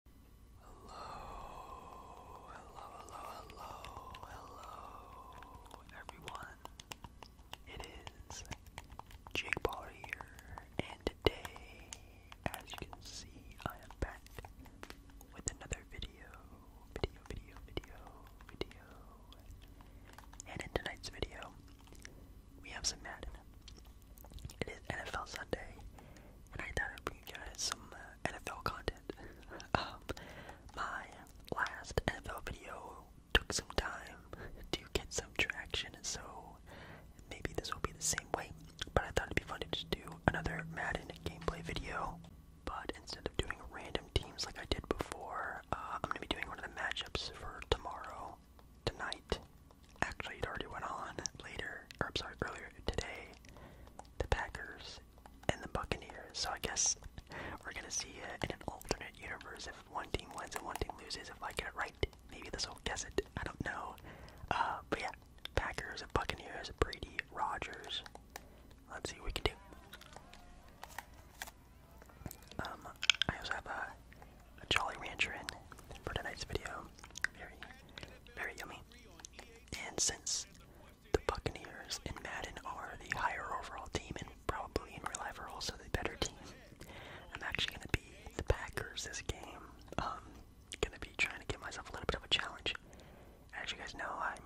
Hello, hello, hello, hello, hello, everyone. It is Jake Baller here, and today, as you can see, I am back with another video, video, video, video, video. And in tonight's video, we have some Madden. It is NFL Sunday, and I thought I'd you guys some uh, NFL content. Um, my last NFL video took some time to get some traction, so maybe this will be the same way. But I thought it'd be fun to just do another Madden gameplay video. But instead of doing random teams like I did before, uh, I'm gonna be doing one of the matchups for tomorrow, tonight, Actually, it already went on later, I'm sorry, earlier today. The Packers and the Buccaneers. So I guess we're gonna see it in an alternate universe if one team wins and one team loses. If I get it right, maybe this will guess it. I don't know. Uh, but yeah, Packers and Buccaneers, Brady, Rogers. Let's see what we can do. Um, I also have a, a Jolly Rancher in for tonight's video. Very, very yummy. And since the Buccaneers and Madden are the higher overall team and probably in real life are also the better team, I'm actually going to be the Packers this game. Um, going to be trying to give myself a little bit of a challenge. As you guys know, I'm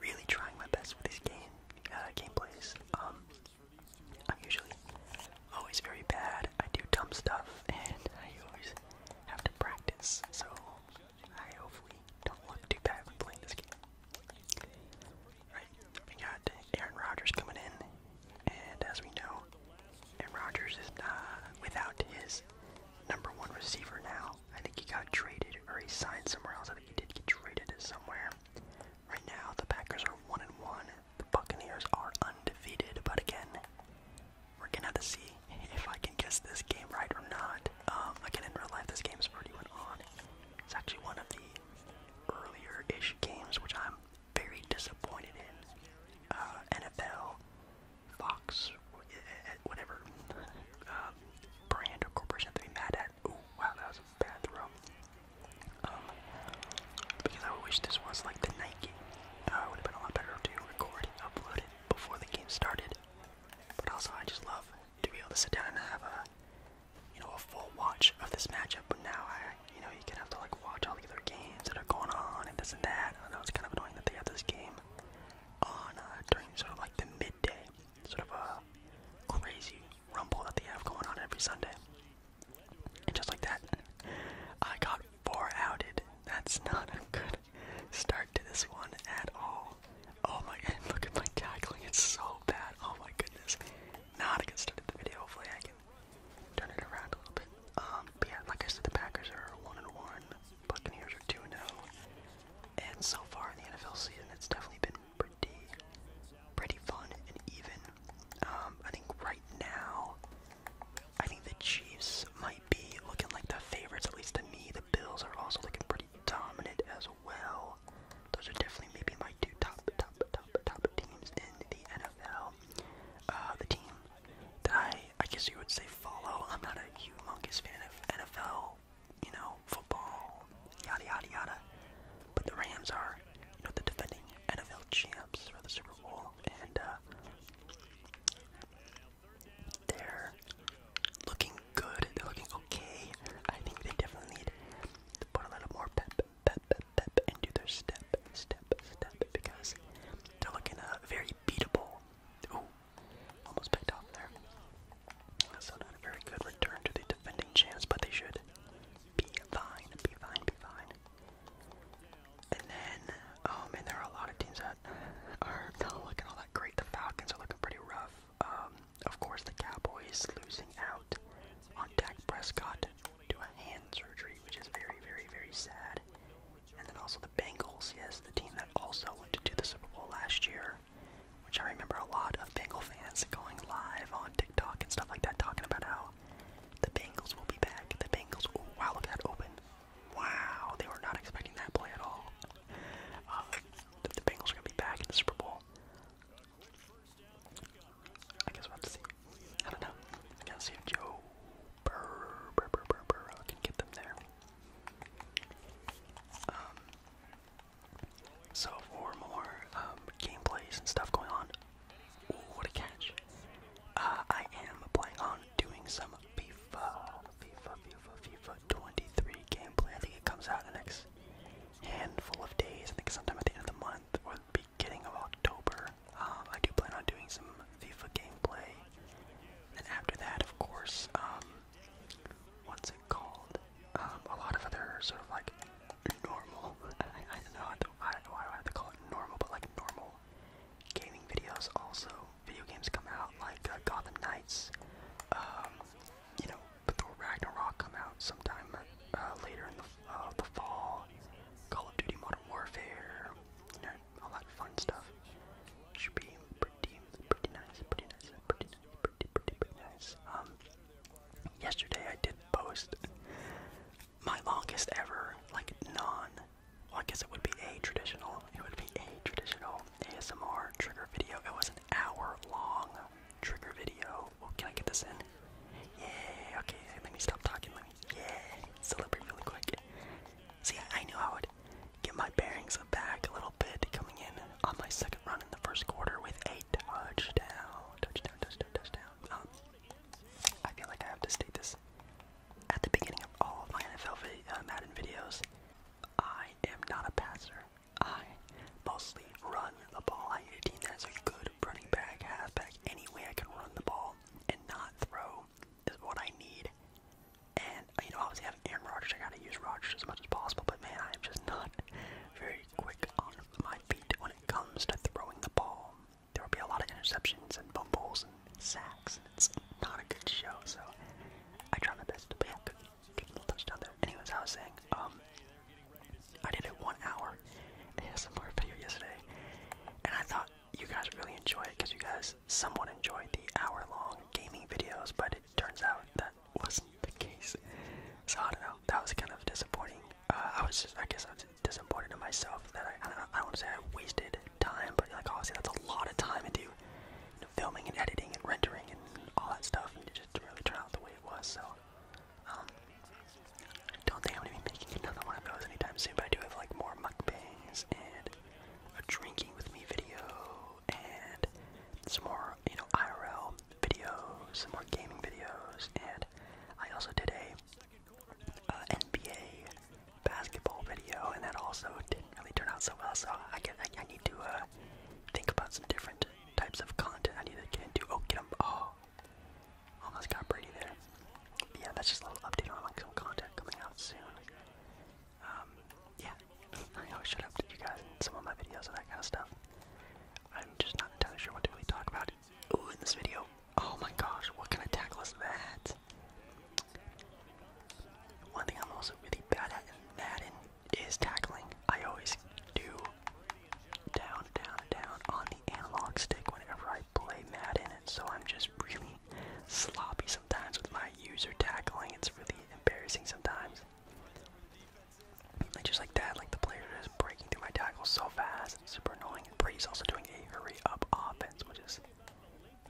really trying my best with these game uh, gameplays. Um, I'm usually always very bad. I do dumb stuff, and I always have to practice, so I hopefully don't look too bad playing this game. Right, we got Aaron Rodgers coming in, and as we know, Aaron Rodgers is uh, without his number one receiver now. I think he got traded, or he signed somewhere else. I think he did get traded somewhere. Right now, the Packers are one and one. The Buccaneers are undefeated, but again, we're gonna have to see if I can guess this game right or not. Um, again, in real life, this game is went on. It's actually one of the earlier-ish games, which I'm very disappointed in. Uh, NFL, Fox, whatever um, brand or corporation to be mad at. Ooh, wow, that was a bad um, because I wish this was like the night game. Uh, would have been a lot better to record upload before the game started. But also, I just love to be able to sit down and have a, you know, a full watch of this matchup. But now I, you know, you can have to like watch all the other games that are going on and this and that. I know it's kind of annoying that they have this game on uh, during sort of like the midday, sort of a crazy rumble that they have going on every Sunday. And just like that, I got four outed. That's not a good good start to this one at all. Oh my god, look at my tackling, it's so bad. Oh my goodness. Not a good start the video. Hopefully I can turn it around a little bit. Um, but yeah, like I said, the Packers are one and one, Buccaneers are two and zero, oh, and so far in the NFL season, it's definitely been pretty, pretty fun and even. Um, I think right now, I think the Chiefs might be looking like the favorites, at least to me. The Bills are also looking pretty dominant as well. Those are definitely maybe my two top, top, top, top teams in the NFL. Uh, the team that I, I guess you would say follow. I'm not a humongous fan of NFL, you know, football, yada yada yada. But the Rams are, you know, the defending NFL champs for the Super Bowl, and uh, they're looking good. They're looking okay. I think they definitely need to put a little more pep, pep, pep, pep into their step, step, step because they're looking uh, very beatable. Ooh, almost picked off there. not a very good return to the defending chance, but they should be fine, be fine, be fine. And then, oh man, there are a lot of teams that are not looking all that great. The Falcons are looking pretty rough. Um, of course, the Cowboys losing out on Dak Prescott to a hand surgery, which is very, very, very sad. And then also the Bengals, yes, the team that also went to the Super Bowl last year, which I remember a lot of Bengal fans going live on TikTok and stuff like that, talking about how the Bengals will be back. The Bengals, will wow, look that open. Wow, they were not expecting that play at all. Uh, the, Bengals are gonna be back in the Super Bowl. I guess we have to see. I don't know. I gotta see if Joe Burrow uh, can get them there. Um, so for more um, gameplays and stuff going on. what a catch! Uh, I am planning on doing some FIFA um, FIFA, FIFA, FIFA 23 gameplay. I think it comes out in the next handful of days. I think sometime at the end of the month or the beginning of October. Um, I do plan on doing some FIFA gameplay. And after that, of course, um, what's it called? Um, a lot of other sort of like normal. I, I don't know how to, I, why do I have to call it normal, but like normal gaming videos also. Video games come out like uh, Gotham Knights, um, you know, Thor Ragnarok come out sometime uh, later in the, uh, the fall, Call of Duty Modern Warfare, you know, all that fun stuff. Should be pretty, pretty nice, pretty nice, pretty nice, pretty, pretty, pretty nice. Um, yesterday I did post my longest ever, like, non well, I guess it would be a traditional, it would be a traditional ASMR trigger video. It was an hour long trigger video. Well, can I get this in? Yeah, okay, let me stop talking, let me, yeah, celebrate really quick. See, I, I knew I would get my bearings back a little bit coming in on my second run in the first quarter with a touchdown, touchdown, touchdown, touchdown. Um, I feel like I have to state this at the beginning of all of my NFL uh, Madden videos, I am not a passer. I mostly run the ball. I need a team that has a good running back, halfback, any way I can run the ball and not throw is what I need. And, you know, obviously having Aaron Rodgers, I gotta use Rodgers as much as possible, but man, I'm just not very quick on my feet when it comes to throwing the ball. There will be a lot of interceptions and fumbles sacks. And it's not a good show, so I try my best to be a good touchdown there. Anyways, I was saying, um, I did a one hour ASMR video yesterday, and I thought you guys would really enjoy it because you guys somewhat enjoyed the hour long gaming videos, but it turns out that wasn't the case. So I don't know, that was kind of disappointing. Uh, I was just, I guess I was disappointed in myself that I, I don't know, I don't want to say I wasted time, but like obviously that's a lot of time to filming and editing and rendering and all that stuff, it just really turn out the way it was. So, I um, don't think I'm gonna be making another one of those anytime soon. But I do have like more mukbangs and a drinking with me video and some more you know IRL videos, some more gaming videos, and I also did a uh, NBA basketball video, and that also didn't really turn out so well. So I get, I, need to uh, think about some different types of content I need to get into. Oh, get him! Oh, almost got Brady there. yeah, that's just a little update on like some content coming out soon. Um, yeah, I always showed up to you guys some of my videos and that kind of stuff. I'm just not entirely sure what to really talk about. Ooh, in this video. Oh my gosh, what can I tackle is that? One thing I'm also really bad at in Madden is tackling. I always do down, down, down on the analog stick whenever I play Madden, so I'm just really sloppy sometimes with my user tackling. It's really embarrassing sometimes. just like that, like the player is breaking through my tackle so fast, super annoying. And Brady's also doing a hurry up offense, which is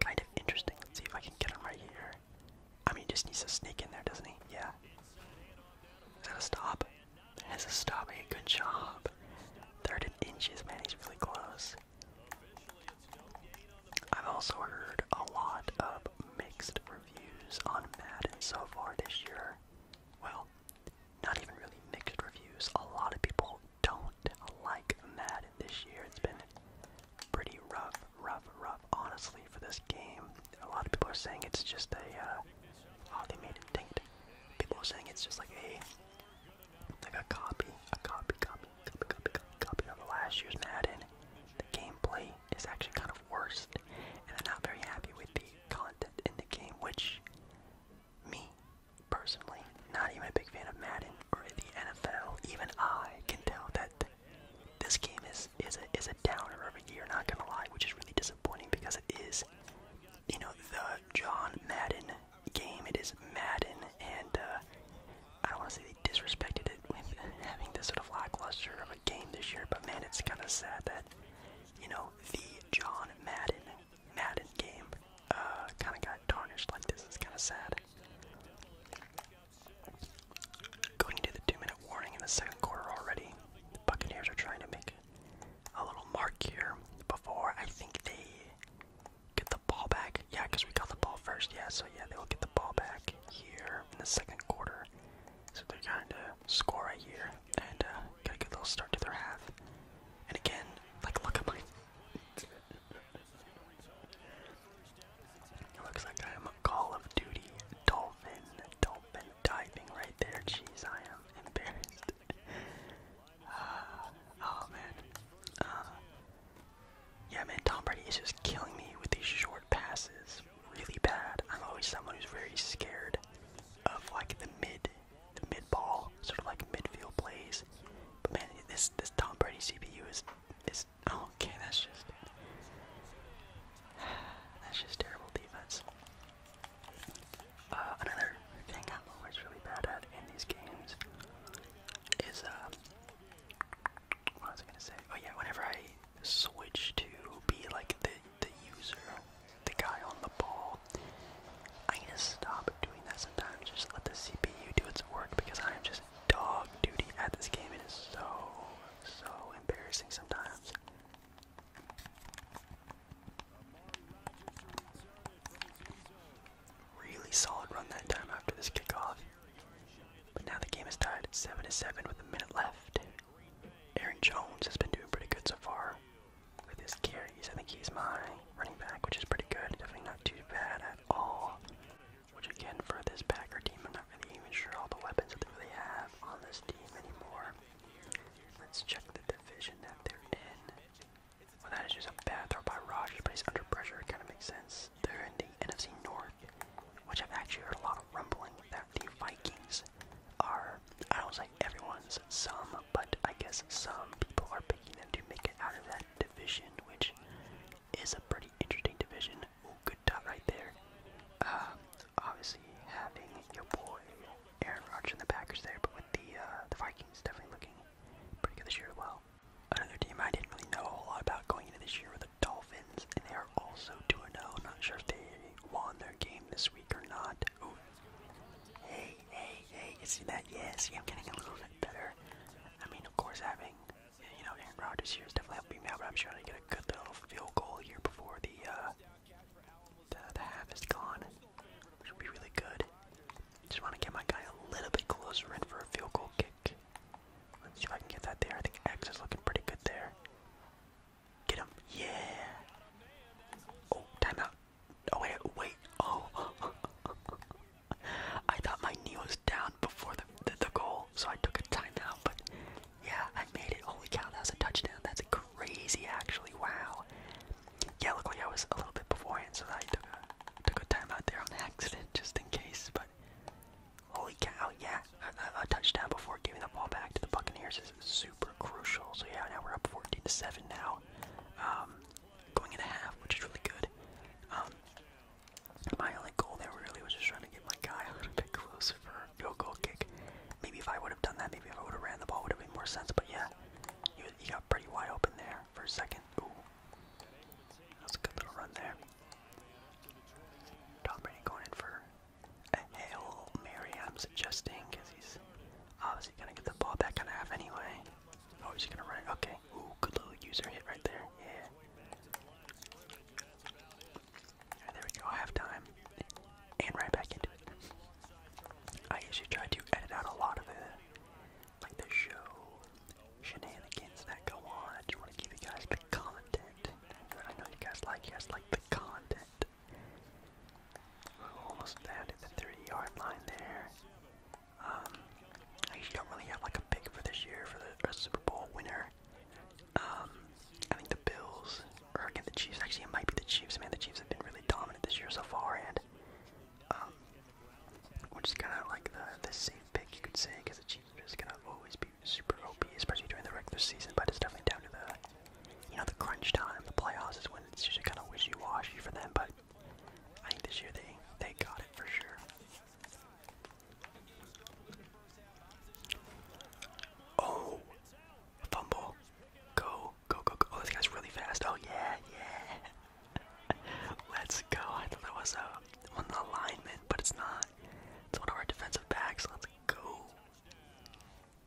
kind of interesting. see if I can get him right here. I mean, he just needs to sneak in there, doesn't he? Yeah. Is that a stop? That is a stop, hey, good job. Thirty inches, man, he's really close. I've also heard a lot of mixed reviews on Madden so far this year. Well, not even really mixed reviews. A lot of people don't like Madden this year. It's been pretty rough, rough, rough, honestly, for this game. A lot of people are saying it's just a, uh, oh, made it People are saying it's just like a, like a copy, a copy, copy, copy, copy, copy, copy of last year's Madden. The gameplay is actually kind of worst, and I'm not very happy with the content in the game, which, me, personally, not even a big fan of Madden or the NFL, even I can tell that this game is is a is a downer every year. Not gonna lie, which is really disappointing because it is, you know, the John Madden game. It is Madden, and uh, I don't want to say they disrespected it with having this sort of lackluster of a game this year. But man, it's kind of sad that you know the John Madden Madden game uh, kind of got tarnished like this. It's kind of sad. Going into the two-minute warning in the second quarter already, the Buccaneers are trying to make a little mark here before I think they get the ball back. Yeah, because we got the ball first. Yeah, so yeah, they will get the ball back here in the second quarter. So they're trying to score right here and uh, get a good little start to their half. And again, like look at my it looks like I am a Call of Duty dolphin, dolphin diving right there. Jeez, I am embarrassed. Ah, oh man. Uh, yeah, man, Tom Brady is just killing me with these short passes. Really bad. I'm always someone who's very scared of like the mid, the mid ball, sort of like midfield plays. But man, this this Tom Brady CPU is is Oh, okay, that's just That's just terrible defense. Uh, another thing I'm always really bad at in these games is, uh, what was I gonna say? Oh yeah, whenever I switch to be like the, the user, the guy on the ball, I need to stop doing that sometimes. Just let the CPU do its work because I am just is dog duty at this game. It is so, so embarrassing sometimes. Really solid run that time after this kickoff. But now the game is tied 7 to 7 with a minute left. Aaron Jones has been doing pretty good so far with his carries. I think he's my running back, which is pretty good. Definitely not too bad at all. Which again, for this Packer team, I'm not really even sure all the weapons that they really have on this team anymore. Let's check the division that they're in. Well, that is just a bad throw by Rogers, but he's under pressure. It kind of makes sense. They're in the NFC North, which I've actually heard a lot of rumbling that the Vikings are. I don't say everyone's some, but I guess some people are picking them to make it out of that division, which is a pretty interesting division. Ooh, good dot right there. Um, obviously, having your boy Aaron Rodgers in the Packers there, but with the uh, the Vikings definitely looking pretty good this year as well. Another team I didn't really know a whole lot about going into this year were the Dolphins, and they are also 2-0. Not sure if they won their game this week or not. Hey, hey, hey, you see that? Yes, yeah, getting a little bit better. I mean, of course, having yeah, you know, Aaron Rodgers here is definitely helping me out, but I'm trying to get a good little field goal here before the, uh, the, half is gone, which be really good. Just want to get my guy a little bit closer in for a field goal kick. Let's see if I can get that there. I think X is looking pretty good there. Get him. Yeah. Oh, timeout. Oh, wait, wait. Oh. I thought my knee was down before the, the, goal, so I took a timeout, but yeah, I made it. Holy cow, that was a touchdown. That's crazy, actually. Wow. Yeah, luckily I was a little bit beforehand, so I took a, took a timeout there on accident, just in case, but holy cow, yeah, a, touchdown before giving the ball back to the Buccaneers is super crucial. So yeah, now we're up 14 to 7 now. Um, going into half, which is really good. Um, my only goal there really was just trying to get my guy a little bit closer for a field goal kick. Maybe if I would have done that, maybe if I would have ran the ball, would have made more sense. But yeah, he, was, he got pretty wide open there for a second. Ooh, that was a good little run there. Tom Brady going in for a hail Mary. I'm suggesting because he's obviously gonna get the ball back on half anyway. Oh, he's gonna run it. Okay, Okay. Ooh, good little user hit right there. Yeah. there we go. Half And right back into it. I usually try to edit out a lot of the like the show shenanigans that go on. I just want to give you guys the content. I know you guys like. You guys like the content. Almost down to the 30 yard line there. Um, I actually don't really have like a pick for this year for the Super Bowl winner. Um, I think the Bills, or again the Chiefs. Actually, it might be the Chiefs. Man, the Chiefs have been really dominant this year so far, and um, which is kind of like the the safe pick you could say, because the Chiefs are just gonna always be super OP, especially during the regular season. But it's definitely down to the, you know, the crunch time. The playoffs is when it's usually kind of wishy-washy for them, but. I think this year they they got it for sure. Oh, fumble. Go, go, go, go. Oh, this guy's really fast. Oh, yeah, yeah. Let's go. I thought that was a, uh, one alignment, but it's not. It's one of our defensive backs. Let's go.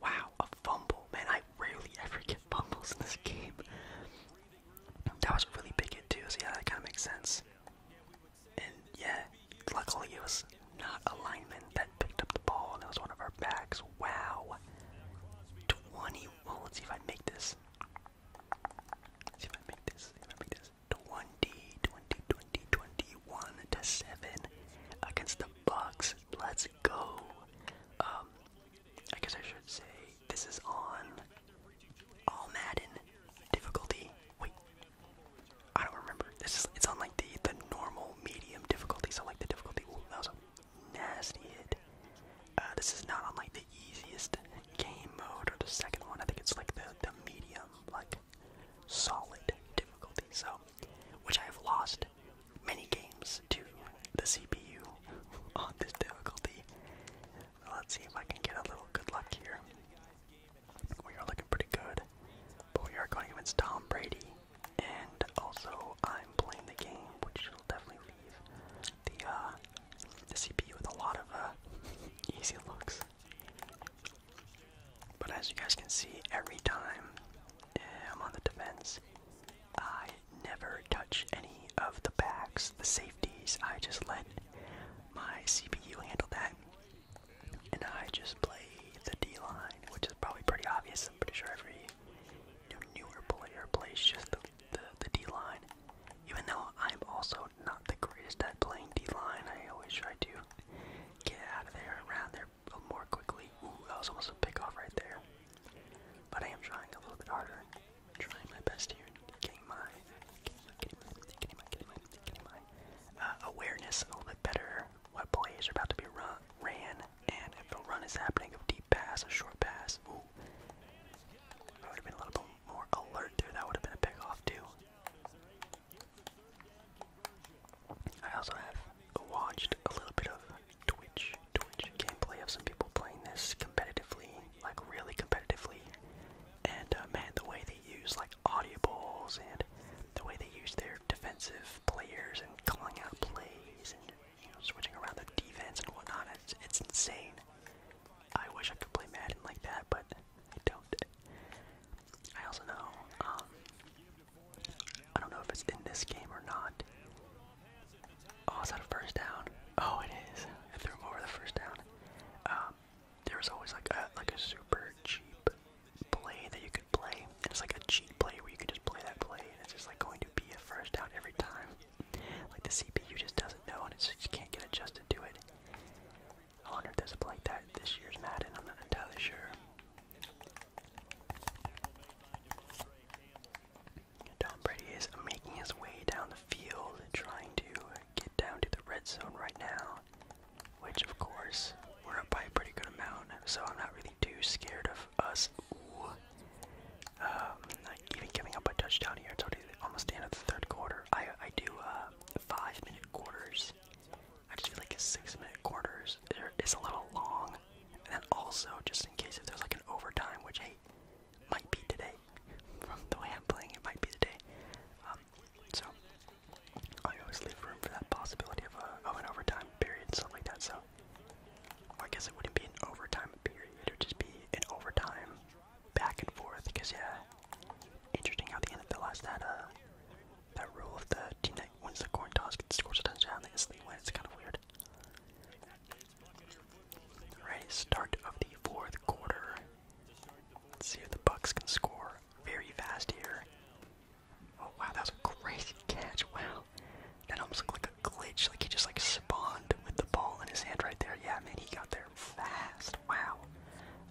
Wow, a fumble. Man, I rarely ever get fumbles in this game. That was a really big hit, too, so yeah, that kind of makes sense. And yeah, luckily it was not a lineman that picked up the ball, and it was one of our backs. Wow. 20. Well, let's see if I make this. Let's see if I make this. See if I make this. 20, 20, 20, 21 to 7 against the Bucks. Let's go. Um, I guess I should say this is on all Madden difficulty. Wait, I don't remember. This is it's on like the the normal medium difficulty. So like the difficulty. that was a nasty hit. Uh, this is not on like the easiest game mode or the second one. I think it's like the the medium like solid difficulty. So, which I have lost many games to the CPU on this difficulty. Let's see if I can get a little good luck here. We are looking pretty good, but we are going against Tom Brady, and also I'm playing the game, which will definitely leave the uh, the CPU with a lot of uh, easy looks. But as you guys can see, every time eh, I'm on the defense, I never touch any of the backs, the safeties. I just let my CPU handled that. And I just play the D line, which is probably pretty obvious. I'm pretty sure every you newer player plays just the, the, D line. Even though I'm also not the greatest at playing D line, I always try to get out of there, around there more quickly. Ooh, that was almost a pickoff right there. But I am trying a little bit harder, I'm trying my best here, getting my, getting my, getting my, getting my, getting my, uh, awareness a little bit better. What plays are about to be run, ran, and if the run is happening, a deep pass, a short pass. Ooh, I would have been a little bit more alert there. That would have been a pickoff too. I also have watched a little bit of Twitch, Twitch gameplay of some people playing this competitively like really competitively. And uh, man, the way they use like audibles and the way they use their defensive players and calling out plays and you know switching around their defense and whatnot, it's it's insane. I wish I could play Madden like that, but I don't. I also know, um, I don't know if it's in this game or not. Oh, is that a first down? Oh, it is. I threw him over the first down. Um, there was always like a like a super cheap play that you could play, and it's like a cheap play where you could just play that play, and it's just like going to be a first down every time. Like the CPU just doesn't know, and it's just, you can't get adjusted to it. I does if a play that this year's Madden. I'm not entirely sure. Tom Brady is making his way down the field, trying to get down to the red zone right now which of course we're up by a pretty good amount, so I'm not really too scared of us. Um, even giving up a touchdown here, it's already almost the end of the third quarter. I I do uh, five minute quarters. I just feel like six minute quarters is a little long, and then also just in case if there's like an overtime, which hey, might be today. From the way I'm playing, it might be today so I always leave room for that possibility of, uh, an overtime period, and stuff like that. So I guess it wouldn't be an overtime period; it would just be an overtime back and forth. Because yeah, interesting how the NFL has that uh that rule of the team that wins the coin toss gets scores the touchdown. They instantly win. It's kind of weird. All right, start of the fourth quarter. Let's see if the Bucks can score very fast here. Oh wow, that was a crazy catch! Wow, that almost looked like a glitch. Like he just like spawned with the ball in his hand right there. Yeah, man, he got there fast. Wow.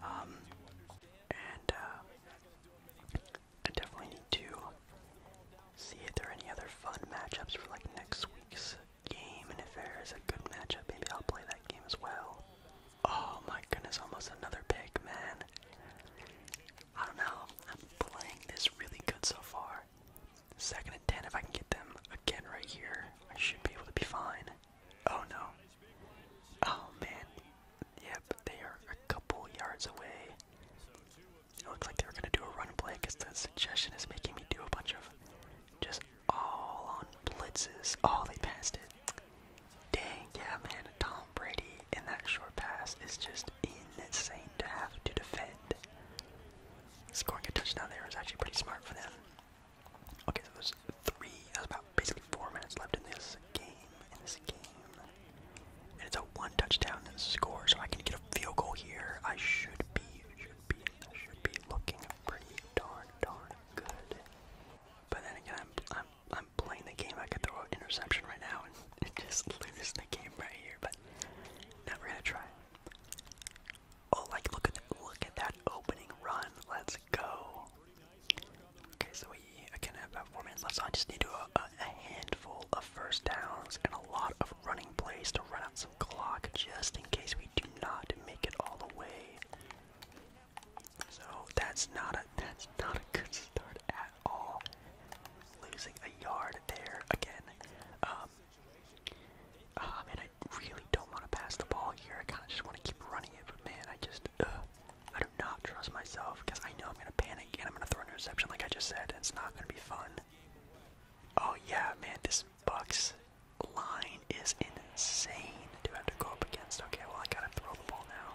Um, and uh, I definitely need to see if there are any other fun matchups for like next week's game, and if there is a good matchup, maybe I'll play that game as well. Oh my goodness, almost another pick, man. I don't know. I'm playing this really good so far. Second and ten, if I can get them again right here, I should be able to be fine. Oh no. Oh man. Yep, they are a couple yards away. It looks like they are gonna do a run play because the suggestion is making me do a bunch of just all on blitzes. Oh, they passed it. Dang, yeah, man. Tom Brady and that short pass is just insane to have to defend. Scoring a touchdown there was actually pretty smart for them. Okay, so was three, That was about basically four minutes left in this game. In this game, and it's a one touchdown score, so I can get a field goal here. I should be, should be, should be looking pretty darn, darn good. But then again, I'm I'm playing the game. I could throw an interception right now and just lose the game right here. But now we're gonna try. Oh, like look at look at that opening run. Let's go. Okay, so we again have about four minutes left. So I just need to uh, a handful of first downs and a lot of running plays to run out some clock, just in case we do not make it all the way so that's not a that's not a good start at all. Losing a yard there again. Um, uh, man, I really don't want to pass the ball here. I kind of just want to keep running it, but man, I just uh, I do not trust myself because I know I'm gonna panic and I'm gonna throw an interception, like I just said. it's not gonna be fun. Oh yeah, man, this Bucks line is insane to have to go up against. Okay, well, I gotta throw the ball now.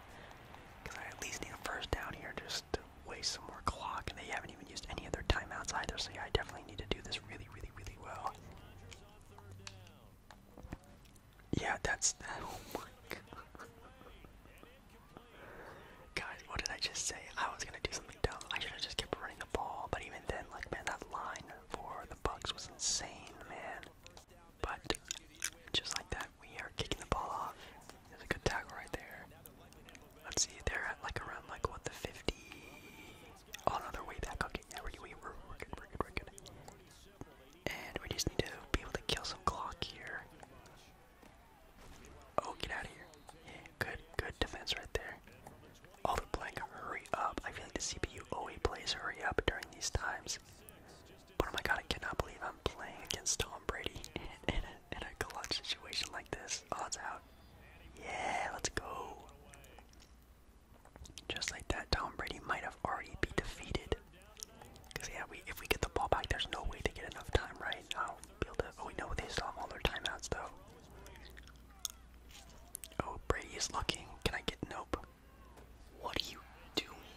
Because I at least need a first down here just to waste some more clock. And they haven't even used any other timeouts either, so yeah, I definitely need to do this really, really, really well. Yeah, that's. Oh my god. Guys, what did I just say? I was gonna do something dumb. I should have just kept running the ball, but even then, like, man, that line for the Bucks was insane, man. But just like that, we are kicking the ball off. There's a good tackle right there. Let's see, they're at like around like what the 50. Oh no, way back. Okay, yeah, we're, we we're good, we're good, we're good. And we just need to be able to kill some clock here. Oh, get out of here. good, good defense right there. All the blank, hurry up. I feel like the CPU always plays hurry up during these times oh my god, I cannot believe I'm playing against Tom Brady in, a, clutch situation like this. Odds out. Yeah, let's go. Just like that, Tom Brady might have already be defeated. Cause yeah, we if we get the ball back, there's no way to get enough time, right? i be able to. Oh, we they still have all their timeouts though. Oh, Brady is looking. Can I get nope? What are you doing?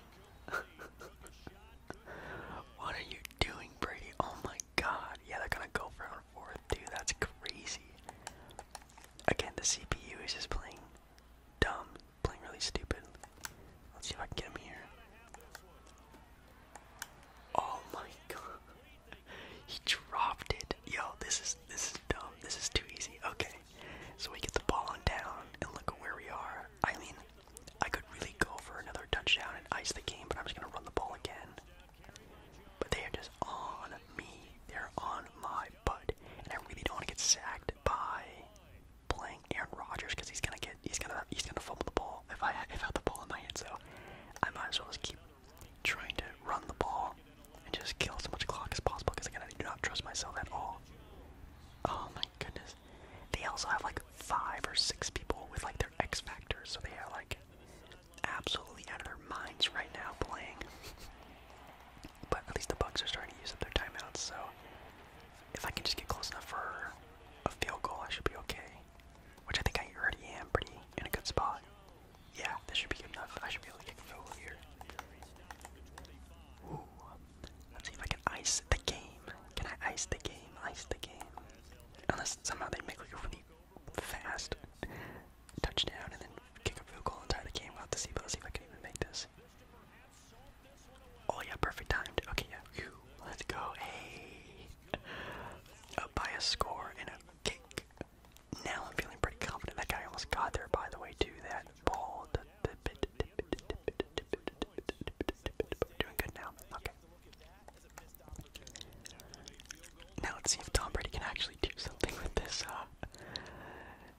what are you doing, Brady? Oh my god. Yeah, they're gonna go for and forth, dude. That's crazy. Again, the CPU is just playing dumb, playing really stupid. Let's see if I can get him here. Oh my god. He dropped it. Yo, this is this is dumb. This is too easy. Okay. So we get the ball on down, and look at where we are. I mean, I could really go for another touchdown and ice the game, but I'm just gonna run the ball again. But they are just on me. They're on my butt, and I really don't want to get sacked by playing Aaron Rodgers because he's gonna get he's gonna he's gonna fumble the ball if I if I have the ball in my hands. So I might as well just keep trying to run the ball and just kill as much clock as possible because again I do not trust myself at all. Oh my goodness. They also have like five or six people with like their X factors, so they are like absolutely out of their minds right now playing. But at least the Bucks are starting to use up their timeouts, so if I can just get close enough for a field goal, I should be okay. Which I think I already am pretty in a good spot. Yeah, this should be good enough. I should be able to get a field goal here. Ooh. Let's see if I can ice the game. Can I ice the game? Ice the game. Unless somehow they make like a really fast touchdown and then kick a field goal and tie the game. we have to see, but let see if I can even make this. Oh yeah, perfect timed. Okay, yeah. Let's go. Hey. by a score and a kick. Now I'm feeling pretty confident. That guy almost got there, by the way, to That ball Doing good now. Okay. Now let's see if Tom Brady can actually do something with this uh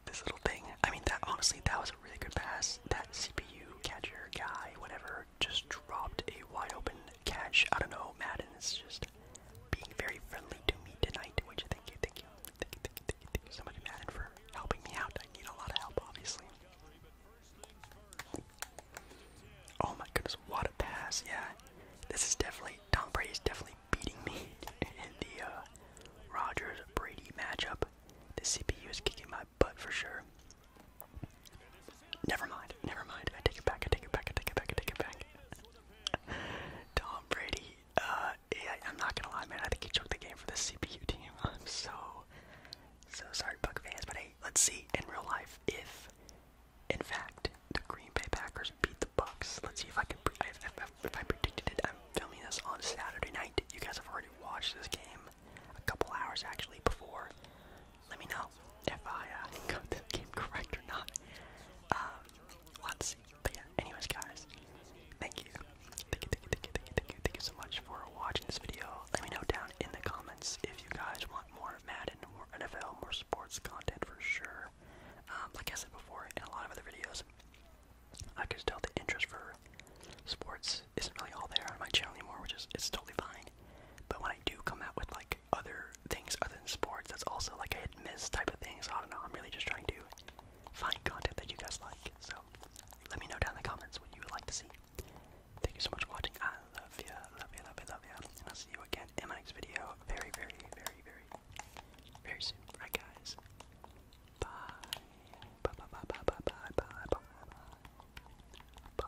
this little thing. I mean that honestly that was a really good pass. That CPU catcher guy, whatever, just dropped a wide open catch. I don't know, Madden is just being very friendly to me tonight, which you thank you, thank you somebody Madden for helping me out. I need a lot of help, obviously. Oh my goodness, what a pass! Yeah, this is definitely Tom Brady's definitely beating me in the uh, Brady matchup. The CPU is kicking my butt for sure. Never mind, never mind. I take it back. I take it back. I take it back. I take it back. Tom Brady uh, I'm not gonna lie, man. I think he choked the game for the CPU team. I'm so, so sorry, Buck fans. But hey, let's see in real life if, in fact, the Green Bay Packers beat the Bucks. Let's see if I can. predict it, I'm filming this on Saturday night. You guys have already watched this game a couple hours actually before. Let me know if I uh, got the game correct or not. Um, let's but yeah, anyways, guys, thank you. Thank you, thank you, thank you, thank you, thank you, thank you so much for watching this video. Let me know down in the comments if you guys want more Madden, more NFL, more sports content for sure. Um, like I said before, in a lot of other videos, I could tell the interest for sports isn't really all there on my channel anymore, which is it's totally fine. But when I do come out with like other things other than sports, that's also like a hit miss type of thing. So I don't know. I'm really just trying to find content that you guys like. So let me know down in the comments what you would like to see. Thank you so much for watching. I love you, love you, love you, love you. And I'll see you again in my next video very, very, very, very, very soon. Alright guys. Bye. Bye bye bye bye bye bye bye bye bye. Bye.